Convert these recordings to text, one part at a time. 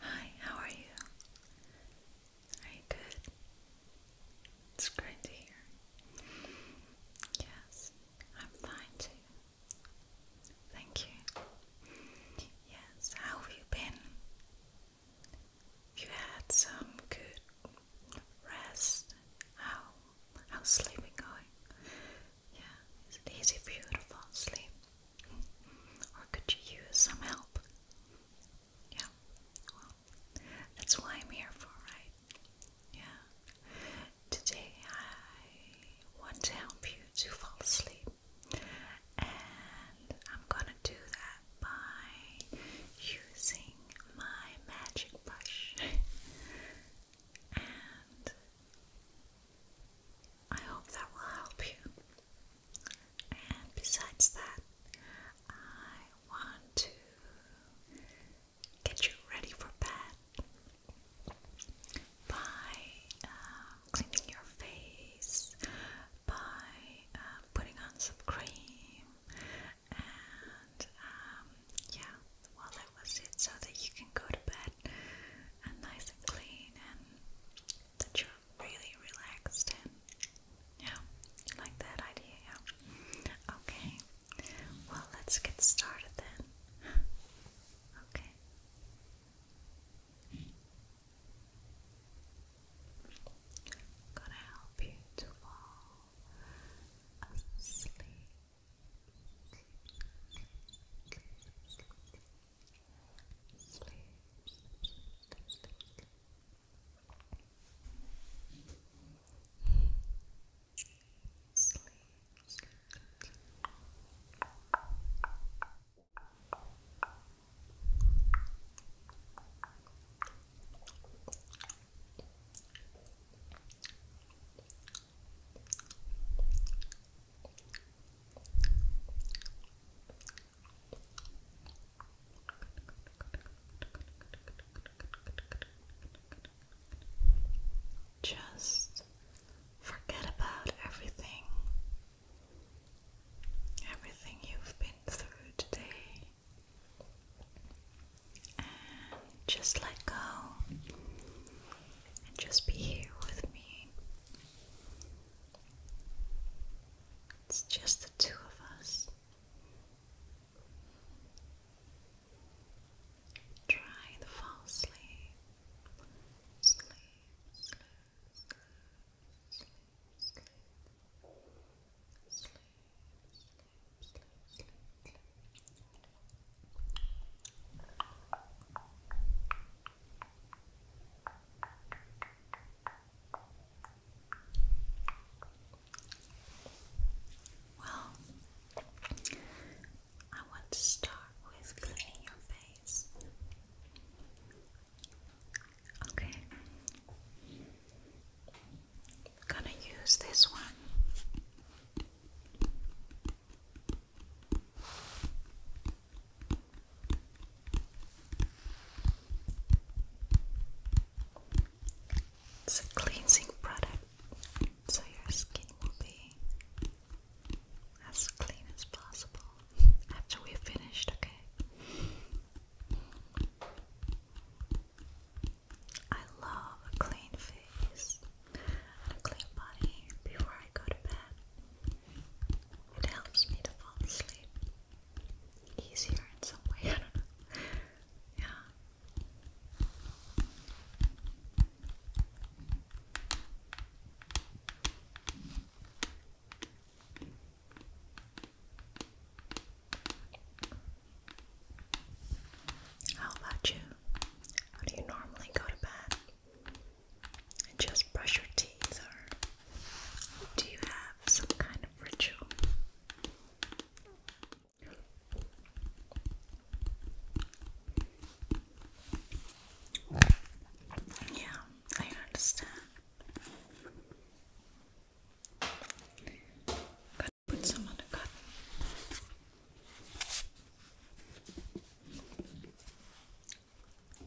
Hi, how are you? Are you good? It's great to hear. Yes, I'm fine too. Thank you. Yes, how have you been? You had some good rest. How how's sleeping going? Yeah, is it easy for you to fall asleep? Or could you use some help? Yeah, well, that's why I'm here for, right? Yeah. Today I want to help you to fall asleep. I'm gonna do that by using my magic brush. and I hope that will help you. And besides that, I want to get you ready for bed by uh, cleaning your face, by uh, putting on some cream, and um, yeah, well, that was it. So that you can go to bed and nice and clean, and that you're really relaxed, and yeah, like that idea, yeah. Okay, well, let's get started then. Okay i gonna help you to fall asleep. sleep. Sleep, sleep, sleep. Just forget about everything everything you've been through today, and just let go and just be here with me. It's just the two of us. Trying to fall sleep. Well, I want to start with cleaning your face. Okay. gonna use this one. It's a cleansing product, so your skin will be as clean as possible after we've finished, okay? I love a clean face and a clean body before I go to bed. It helps me to fall asleep easier in some way, Yeah. How about you? do you normally go to bed? And just brush your teeth, or do you have some kind of ritual? Yeah, I understand. Gotta put some on cotton.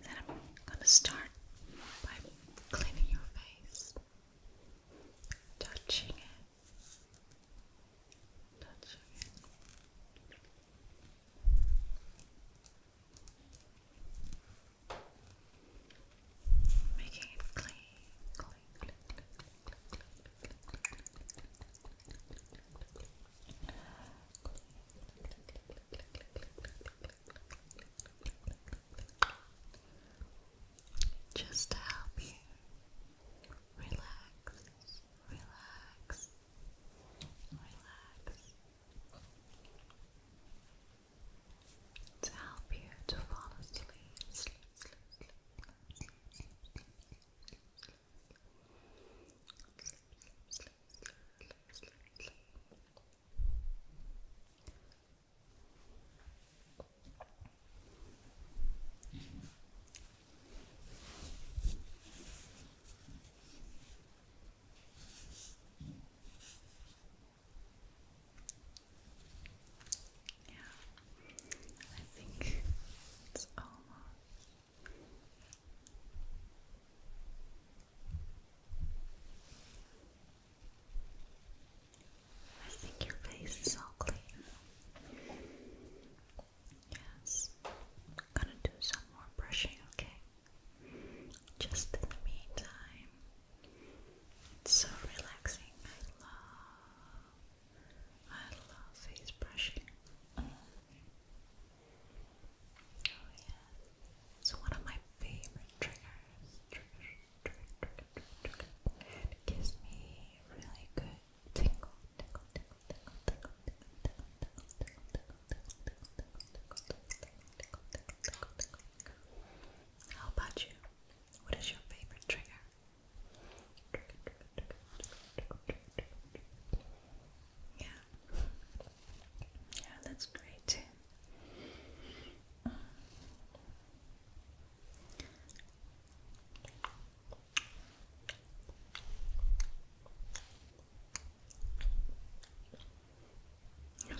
Then I'm gonna start by cleaning your face, touching it, touching it. Making it clean, just to help you relax, relax, relax to help you to fall asleep. Sleep, sleep, yeah, I think it's almost. I think your face is all clean. Yes, gonna do some more brushing, okay? Just in the meantime, it's so relaxing. I love, I love face brushing. Oh yeah, it's one of my favorite triggers. It gives me really good tingle, tingle, tingle, tingle, tingle, tingle, tingle, tingle, tingle, tingle, tingle, tingle, tingle, tingle, tingle, tingle, tingle, tingle, how about you? What is your favorite trigger? Yeah, yeah, that's great too.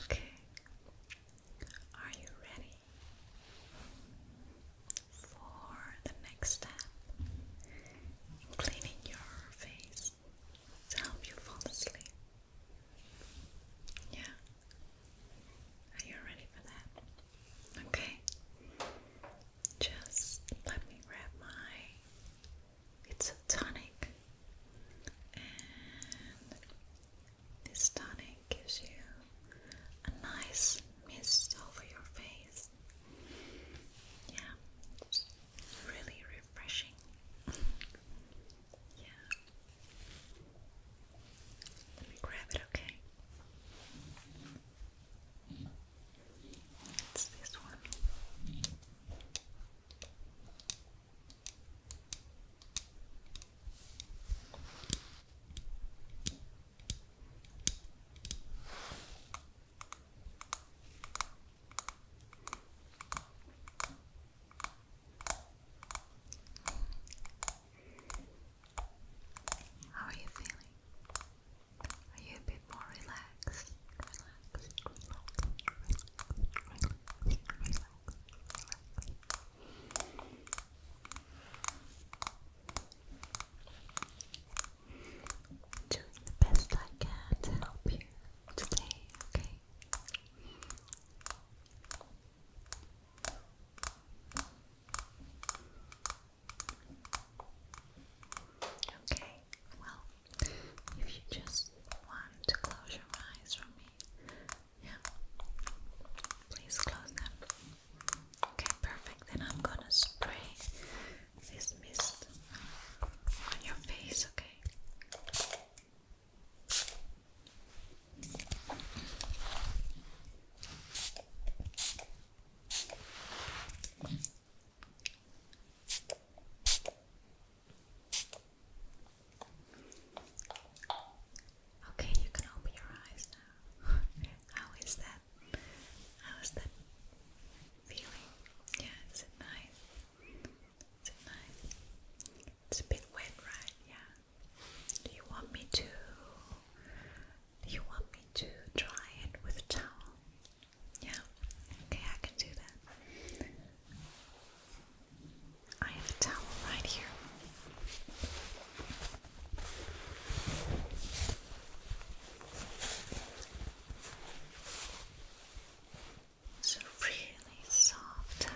Okay. Are you ready for the next step in cleaning your face to help you fall asleep? Yeah. Are you ready for that? Okay. Just let me grab my it's a tonic, and this tonic gives you a nice mist over your face. Yeah, really refreshing. yeah, let me grab it, okay? It's this one. How are you feeling? Are you a bit more relaxed? Doing the best I can to help you today, okay? Okay, well, if you just want to close your eyes for me. Yeah. Please close them. Okay, perfect. Then I'm gonna spray this mist on your face, okay? Okay, you can open your eyes now. How is that? How is that feeling? Yeah, is it nice? Is it nice? It's a bit wet, right? Yeah. Do you want me to? Do you want me to dry it with a towel? Yeah. Okay, I can do that. I have a towel right here. It's a really soft towel.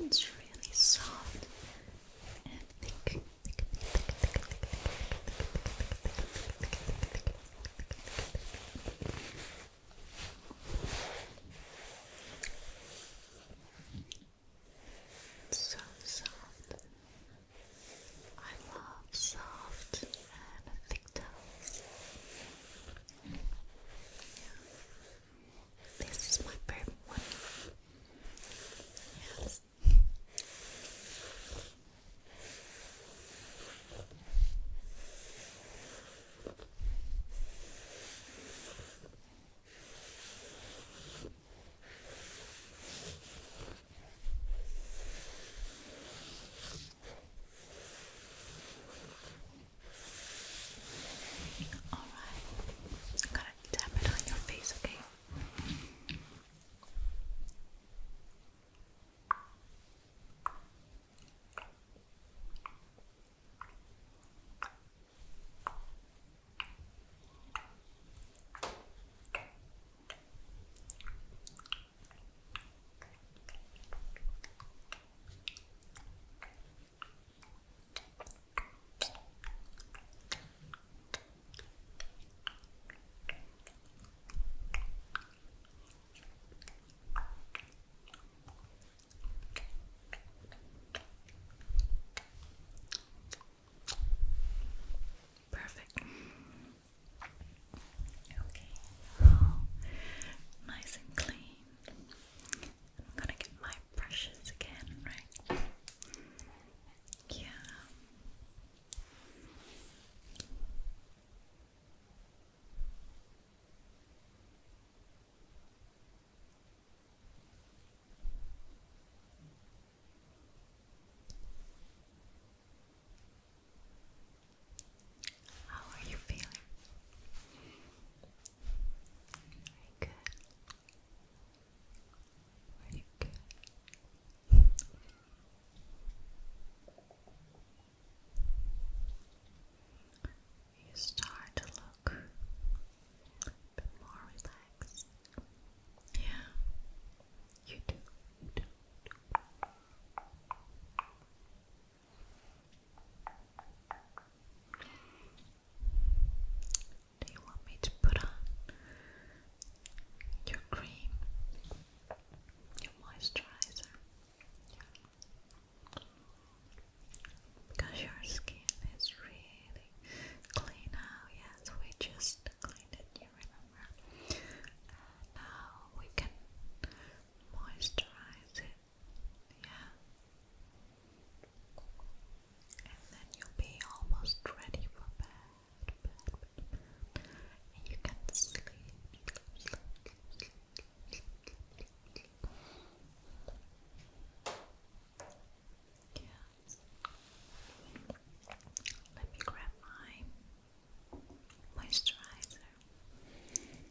It's really soft and thick. So soft. I love soft and thick. TikToks. Yeah. This is my favorite one. Yes. Alright. I'm to tap it on your face, Okay. Perfect. Okay, nice and clean. I'm gonna get my brushes again, right? Yeah. How are you feeling? Very good. Very good. You start to look a bit more relaxed. Yeah, you do. Do you want me to put on your cream, your moisturizer? Because your skin is really clean now, yes, we just cleaned it, you remember? now we can moisturize it yeah. And then you'll be almost ready for bed. And you can sleep. Sleep, Let me grab my moisturizer.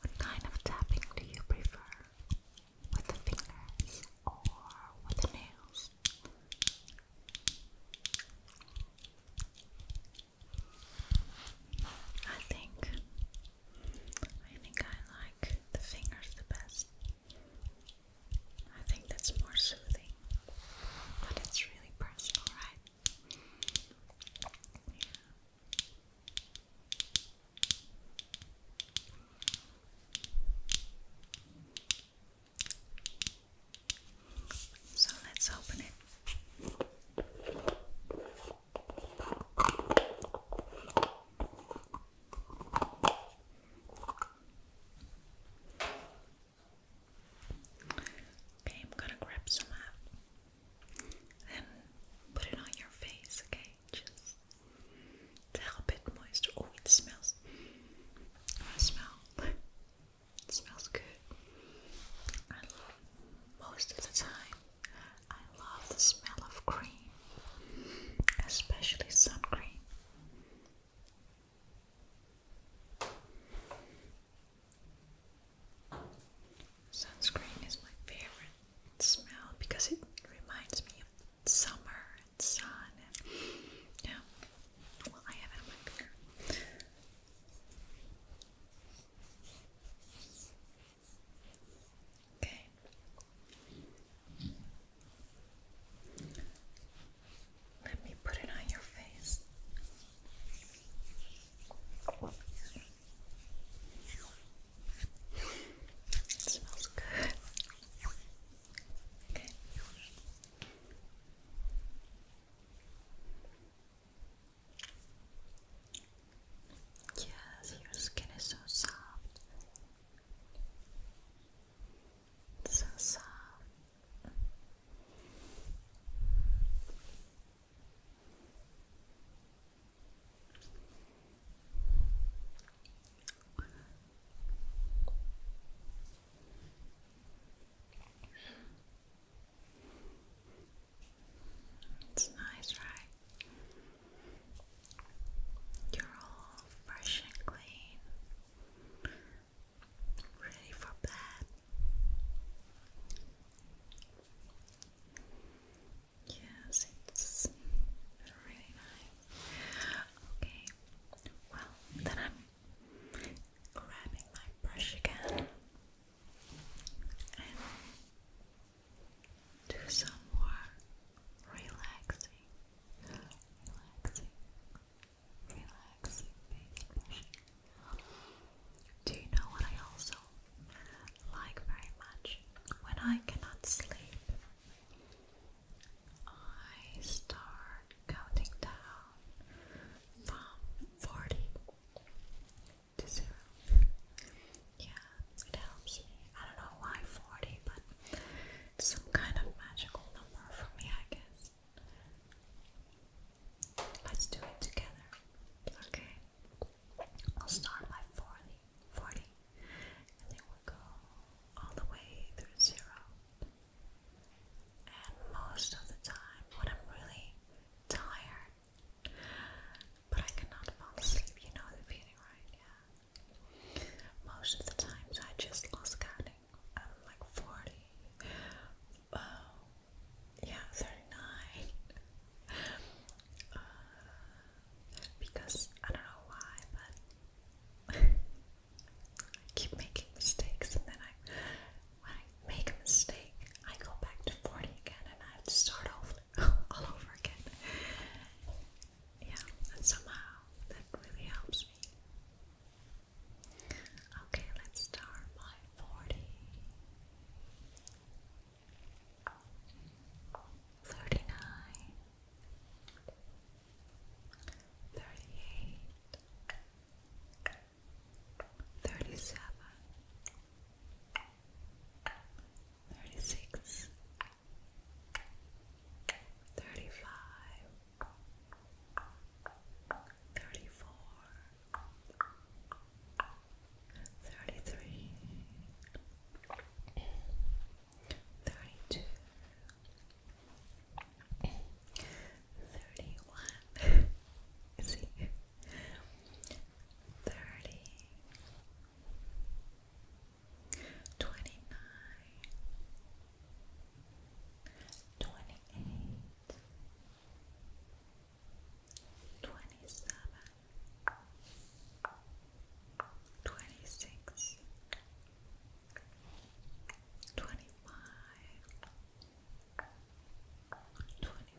What kind of tapping do you prefer? With the fingers or with the nails? I think I think I like the fingers the best. I think that's more soothing, but it's really personal, right? So let's open it. Okay, I'm gonna grab some up and put it on your face, okay? Just to help it moist. Oh, it smells. Oh, smell. smells good. And most of the time, I love the smell of cream, especially sun cream. Sunscreen is my favorite smell because it reminds me of summer and sun yeah. Well I have it on my finger. Okay. Let me put it on your face. smells good. Yes, your skin is so soft. It's so soft. It's nice, right? You're all fresh and clean, ready for bed. Yes, it's really nice. Okay, well, then I'm grabbing my brush again do some more relaxing, relaxing, relaxing Do you know what I also like very much? When I cannot sleep, I start counting down from 40 to zero. Yeah, it helps me. I don't know why 40, but some kind of magical number for me, I guess. Let's do it together. Okay. I'll start by 40, and we'll go all the way through zero. And most of the time, when I'm really tired, but I cannot fall asleep. You know the feeling, right? Yeah. Most of the times I just lost counting. I'm like 40. Uh, yeah, 39. Uh, because I don't know why, but I keep making mistakes, and then I, when I make a mistake, I go back to 40 again and I have to start over. all over again. Yeah, and somehow that really helps me. Okay, let's start my 40. thirty five, thirty four, thirty three, thirty two. 31 twenty nine, twenty eight, twenty seven, twenty six, twenty five, twenty four. 23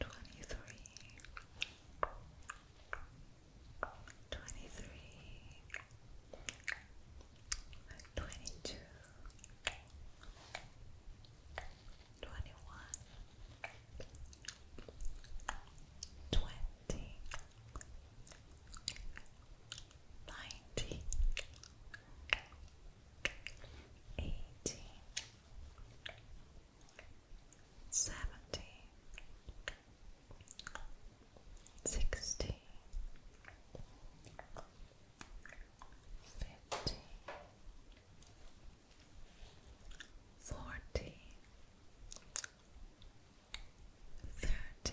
twenty-three, twenty-three, twenty-two, twenty-one, twenty, ninety, eighty. 79 seventy, sixty, fifty, forty, thirty,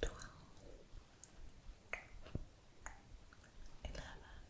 twelve. Eleven,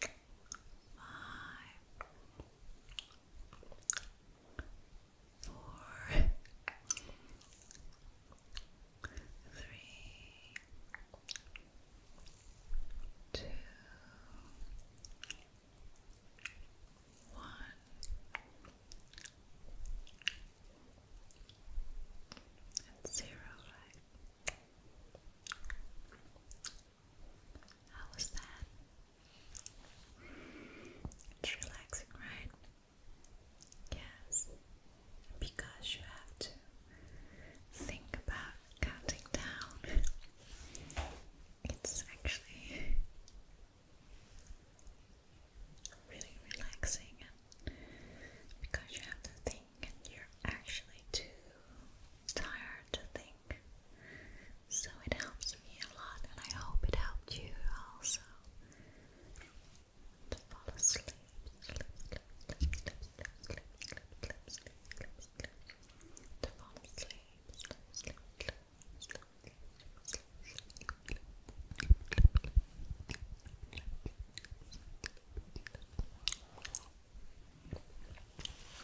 five, four, three, two, one. And zero, right? How was that? It's relaxing, right? Yes, because you have to think about counting down. It's actually really relaxing, and because you have to think, and you're actually too tired to think so it helps me a lot, and I hope it helped you also to fall asleep.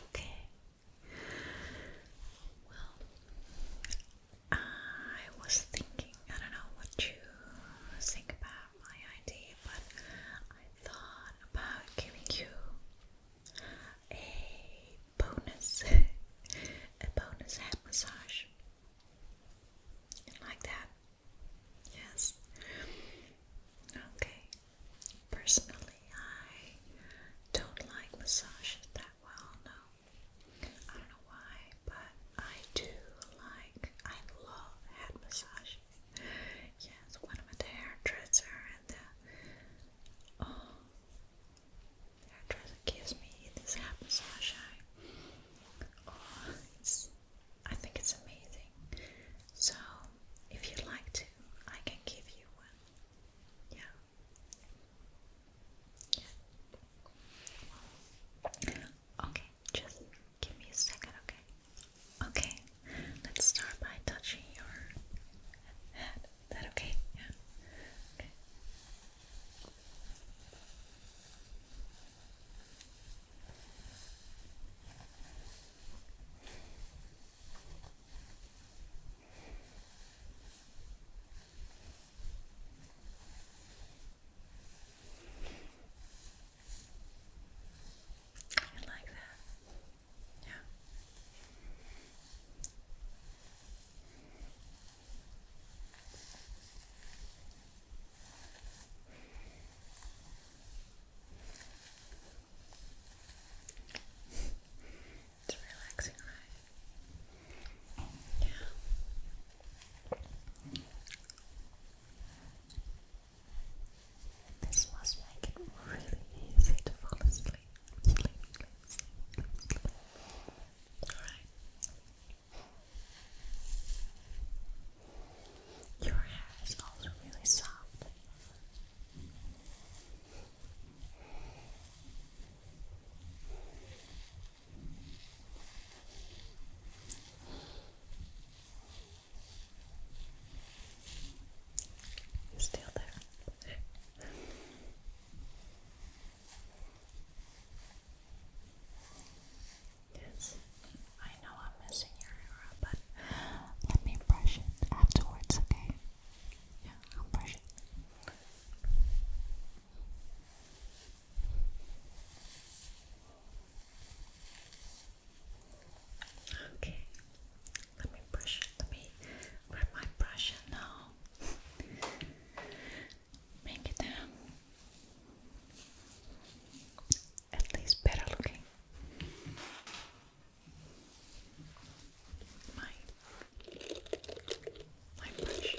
Okay, well, I was thinking, I don't know what you think about my idea, but I thought about giving you a bonus, a bonus head massage. Like that. Yes. Okay. Personally, I don't like massages that well, no. I don't know why, but I do like, I love head massage. Yes, when I'm at the hairdresser and uh, the, hairdresser gives me this head massage, oh, it's, I think it's amazing. So, if you'd like to, I can give you yeah. yeah. Okay, just give me a second, okay? Okay, let's start by touching your head. Is that okay? Yeah. Okay. You like that? Yeah it's relaxing, right? Yeah. This must make really easy to fall asleep. Alright. Your hair is really soft. Still there. yes, I know I'm missing your hair, but let me brush it afterwards, okay? Yeah, i Okay, let me brush it. Let me grab my brush now make it um, at least better looking my my brush.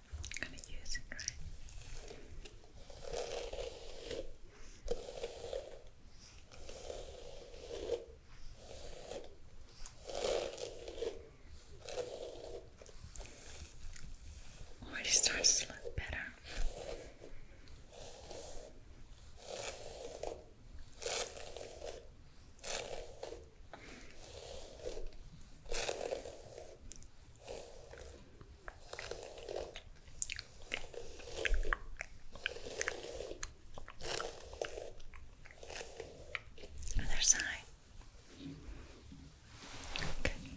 I'm gonna use it, right? Already oh, starts to look better. Other side. Okay.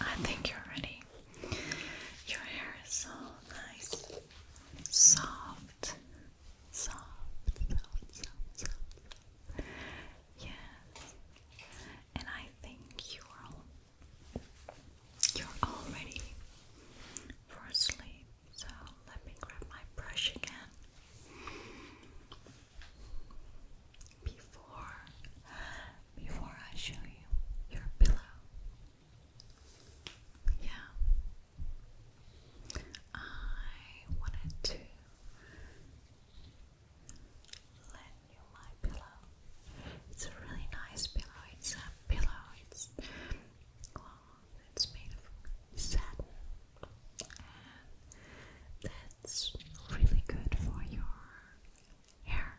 I think you're ready. Your hair is so nice, soft, soft, soft, soft, soft. Yes, and I think you're you're all for sleep. So let me grab my brush again before before I show you your pillow. Yeah. I wanted to lend you my pillow. It's a really nice pillow. It's a pillow. It's well, it's made of satin that's really good for your hair.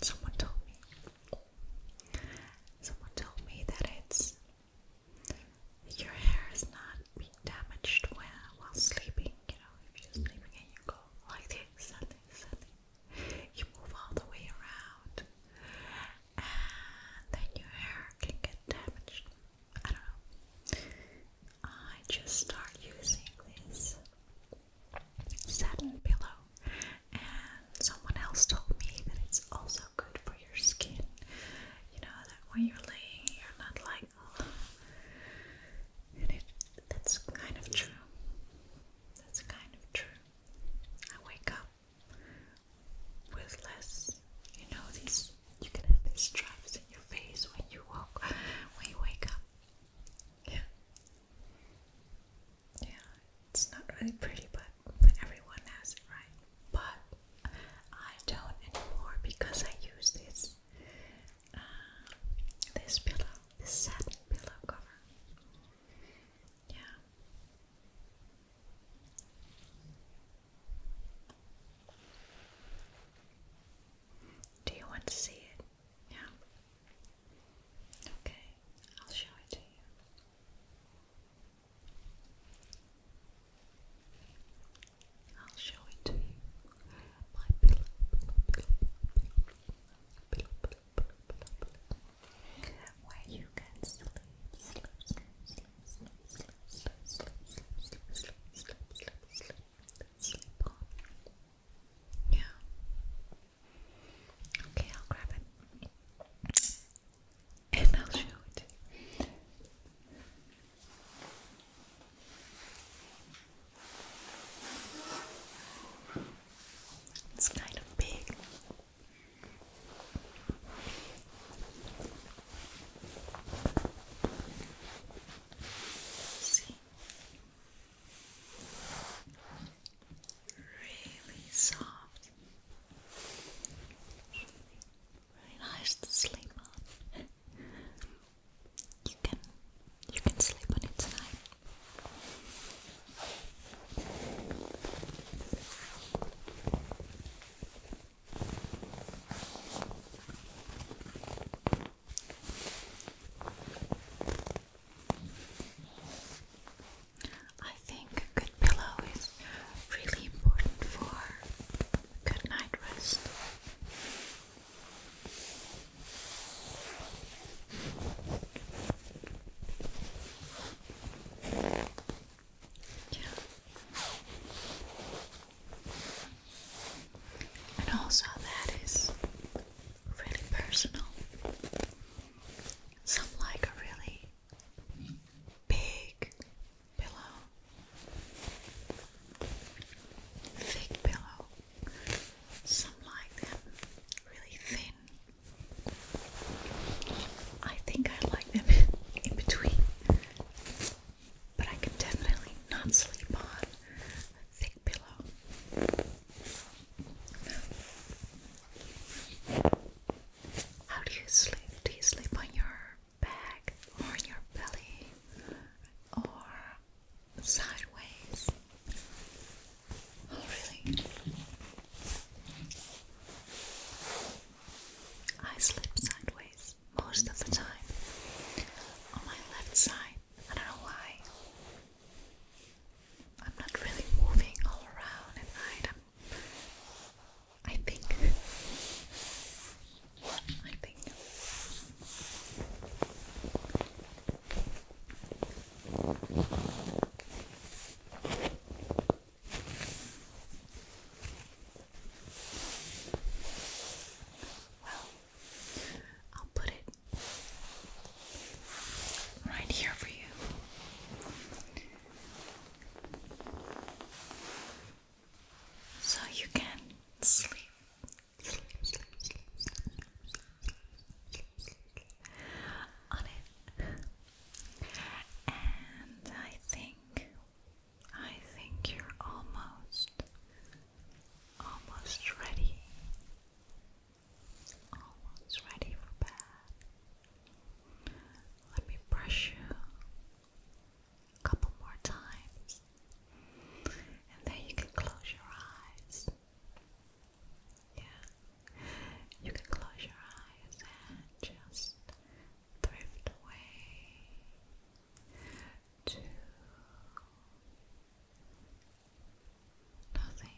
Someone told me. Someone told me that it's your hair is not being damaged while while sleeping. You know, if you're sleeping and you go like this, and this, you move all the way around, and then your hair can get damaged. I don't know. I just start using this satin pillow, and someone else told me that it's also good for your skin. You know that when you're laying, you're not like, oh. and it, that's kind of true. That's kind of true. I wake up with less, you know, these you can have these stripes in your face when you walk, when you wake up. Yeah, yeah, it's not really pretty, but everyone has it, right? But I don't anymore because I use this, uh, this pillow, this satin pillow cover. Yeah. Do you want to see it? Yeah. Okay, I'll show it to you. I'll show it to you. My pillow, where you can sleep, yeah. Okay, I'll grab it. And I'll show it. It's kind of big. See? Really soft. Really nice to sleep on. You can you can sleep on it tonight. I think a good pillow is really important for good night rest. Yeah. And also, that is really personal. Some like a really big pillow, thick pillow. Some like them really thin. I think I like them in between, but I can definitely not sleep on a thick pillow. How do you sleep? Do you sleep on your back or on your belly or sideways? Oh, really? I slip sideways most of the time on my left side. I don't know why. I'm not really moving all around at night. I think. I think. Well, I'll put it right here for you. So you can sleep. on it. And I think I think you're almost, almost ready. Almost ready for bed. Let me brush you a couple more times, and then you can close your eyes. Yeah, you can close your eyes and just drift away to nothing,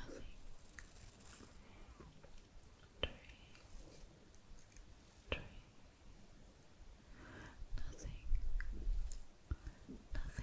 nothing, dream, dream, nothing, nothing